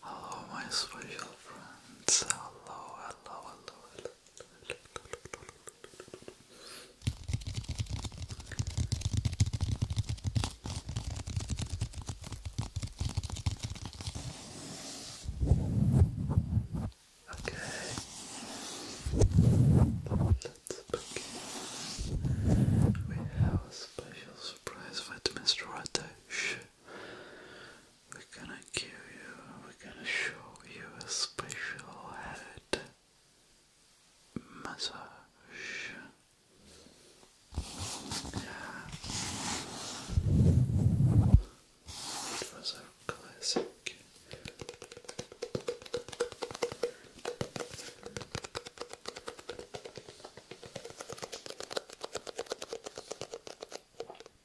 Hello, oh, my special friends. Hello, hello, hello, hello. Okay, let's begin. We have a special surprise for Mr. Ratesh. We're gonna give you, we're gonna show you a special head massage. Yeah. It was a classic.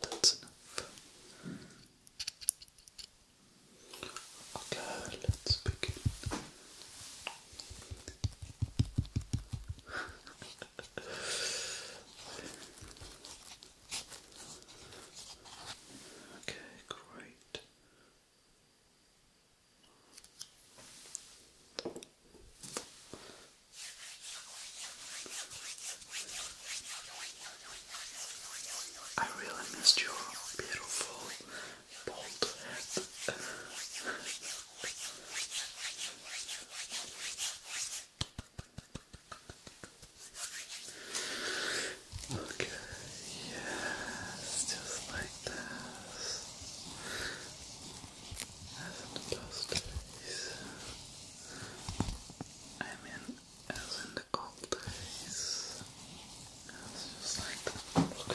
That's enough. Okay, let's begin. okay, great. I really missed your beautiful bald okay, yes, just like this. As in the past days, I mean, as in the old days, it's just like the old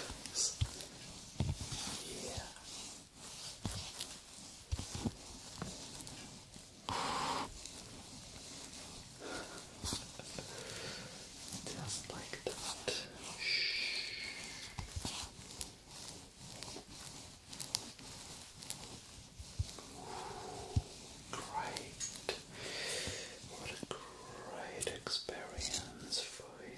Yeah. Just like that. Shh. great. What a great experience for him.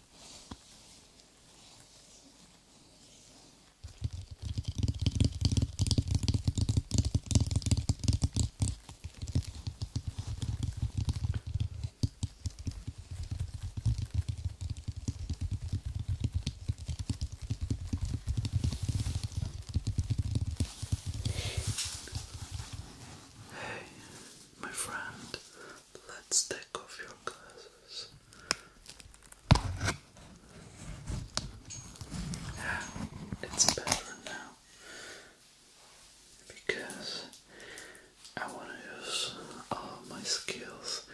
Hey, my friend, Let's take off your glasses. Yeah, it's better now because I want to use all my skills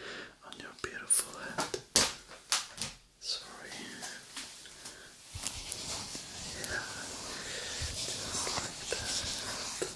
on your beautiful head. Sorry. Yeah,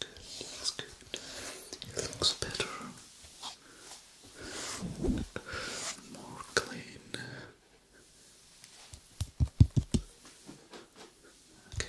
Good, that's good. looks better. More clean. Okay.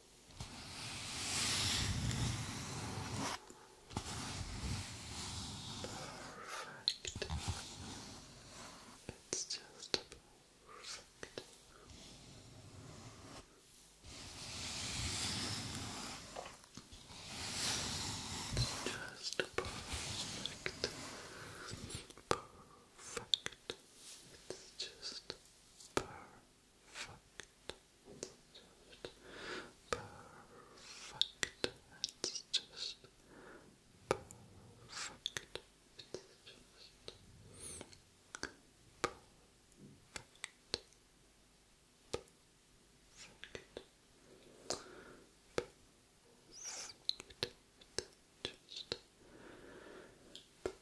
Perfect. It's just perfect. just perfect. Perfect. It's just perfect. Perfect. Just perfect. just perfect. just perfect. Perfect. Perfect. Just perfect.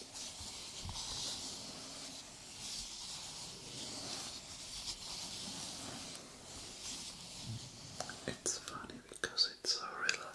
It's funny because it's so relaxing.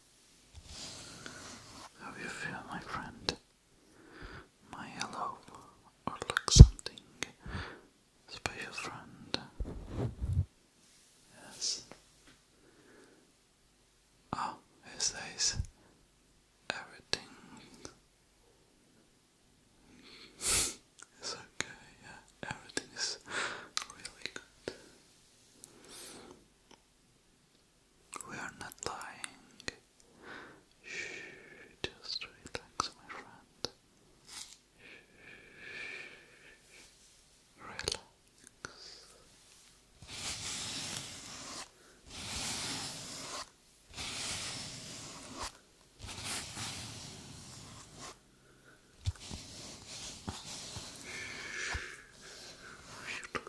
How you feel, my friend? My hello, or like something special, friend? Yes. Oh, it says everything is okay. Yeah, everything is really good. We are not dying. Shh, just relax, my friend. Shh, relax. Shh,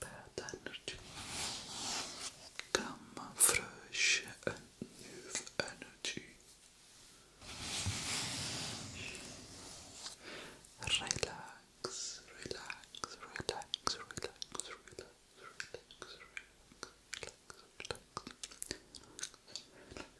Bad energy. Come fresh and new energy. relax, relax, relax, relax, relax, relax, relax, relax, relax,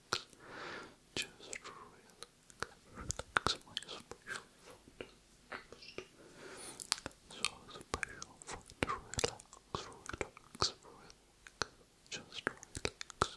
relax. Just relax. Relax my special foot. So special foot. Relax, relax, relax. Just relax. Just relax.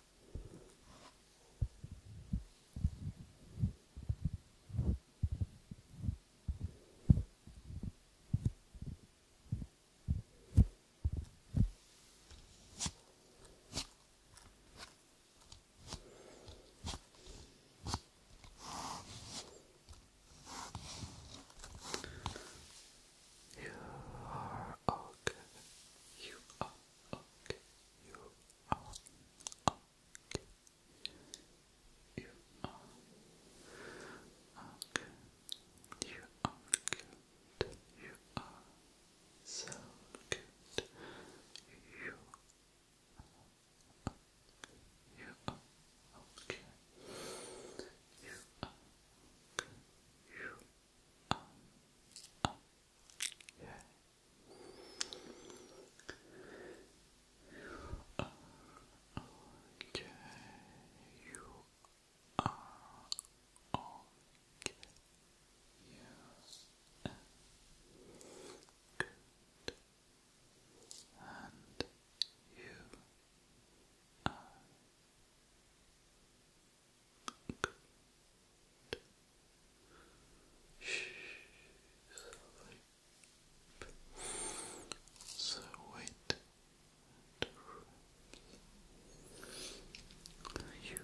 You are okay. You are okay. You are You are You are good. You are so good. You are You are okay. You are You are okay. Okay, you are okay. Yeah. Good. And you are good. Sleep. So wait and you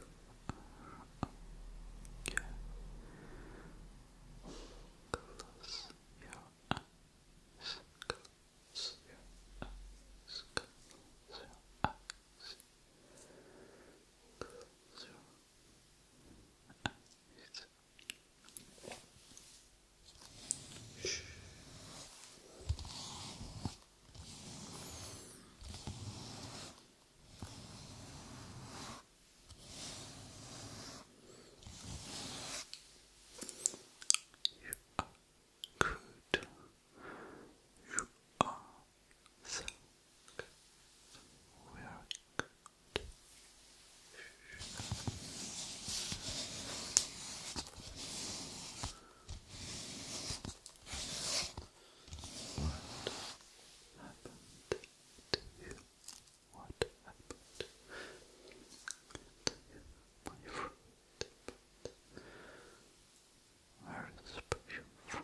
Close your eyes. Close your eyes. Close your eyes. You are good. You are so we are What happened to you? What happened to my friend? Very special friend.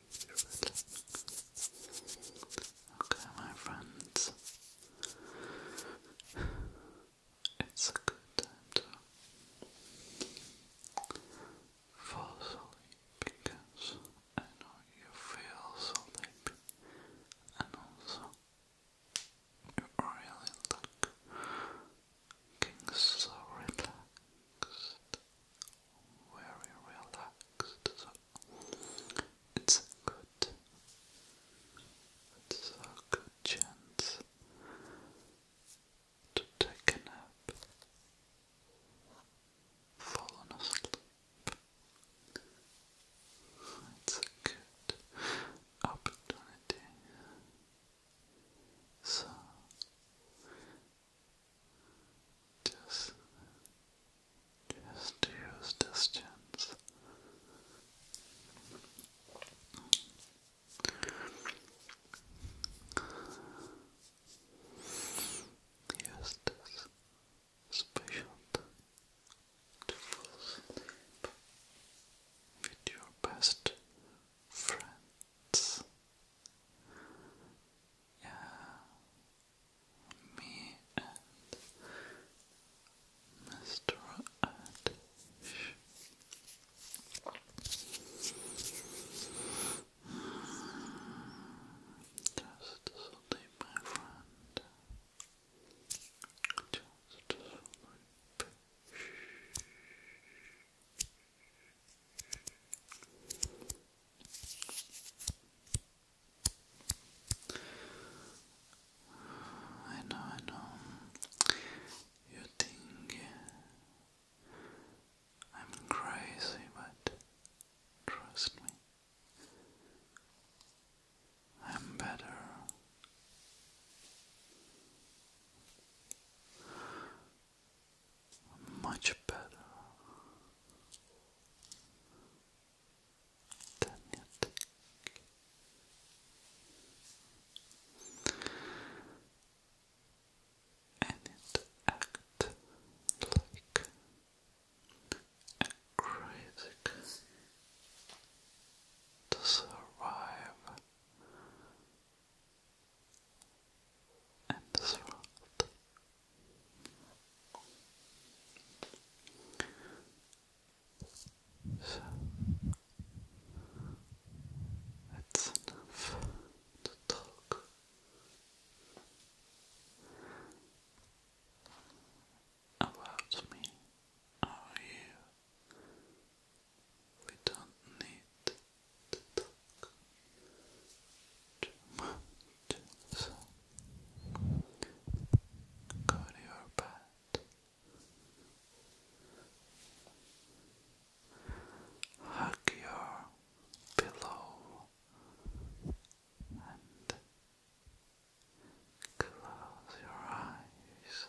Okay, my friends, it's a good time to fall asleep because I know you feel so sleepy and also you really look so relaxed very relaxed, it's a good, it's a good chance to take a nap, fall asleep. It's a good opportunity. So just, just use distance. Use this special time with your best friends. Yeah, me and Mr. Adish. Just sleep, my friend. Just sleep. Shh. I know, I know. You think I'm crazy, but trust me, I'm better. Much better. Tanya Tick. And it acts like a crazy to survive and this world so that's enough to talk. About me or you. We don't need to talk regions. Go to your bed. Hug your pillow and close your eyes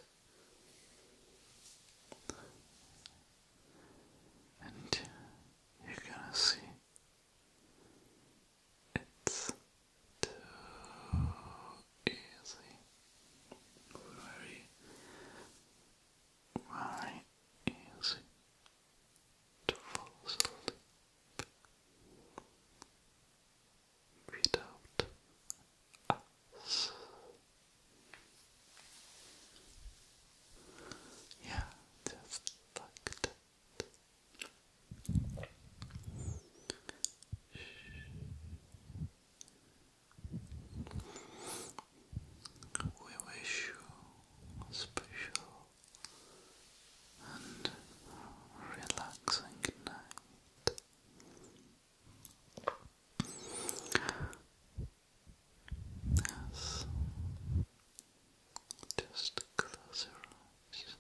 and you're gonna see it's too easy. Very, very easy to fall without us. Yeah, just like we wish you special and relaxing night. Yes, just close your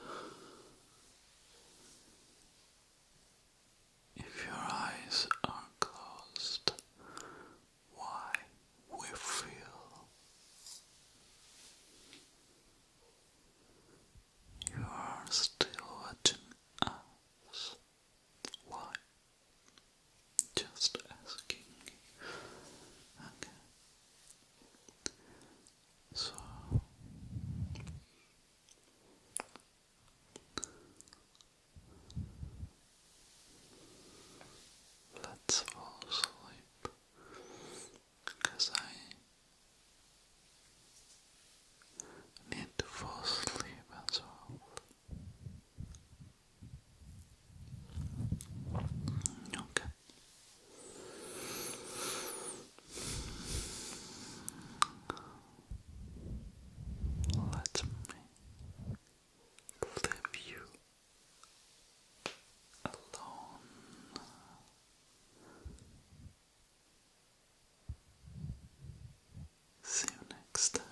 eyes. If your eyes are closed, why we feel you are still watching us. Why just asking. So. Let's fall asleep because I need to fall asleep as well. Okay. Let me leave you alone. See you next time.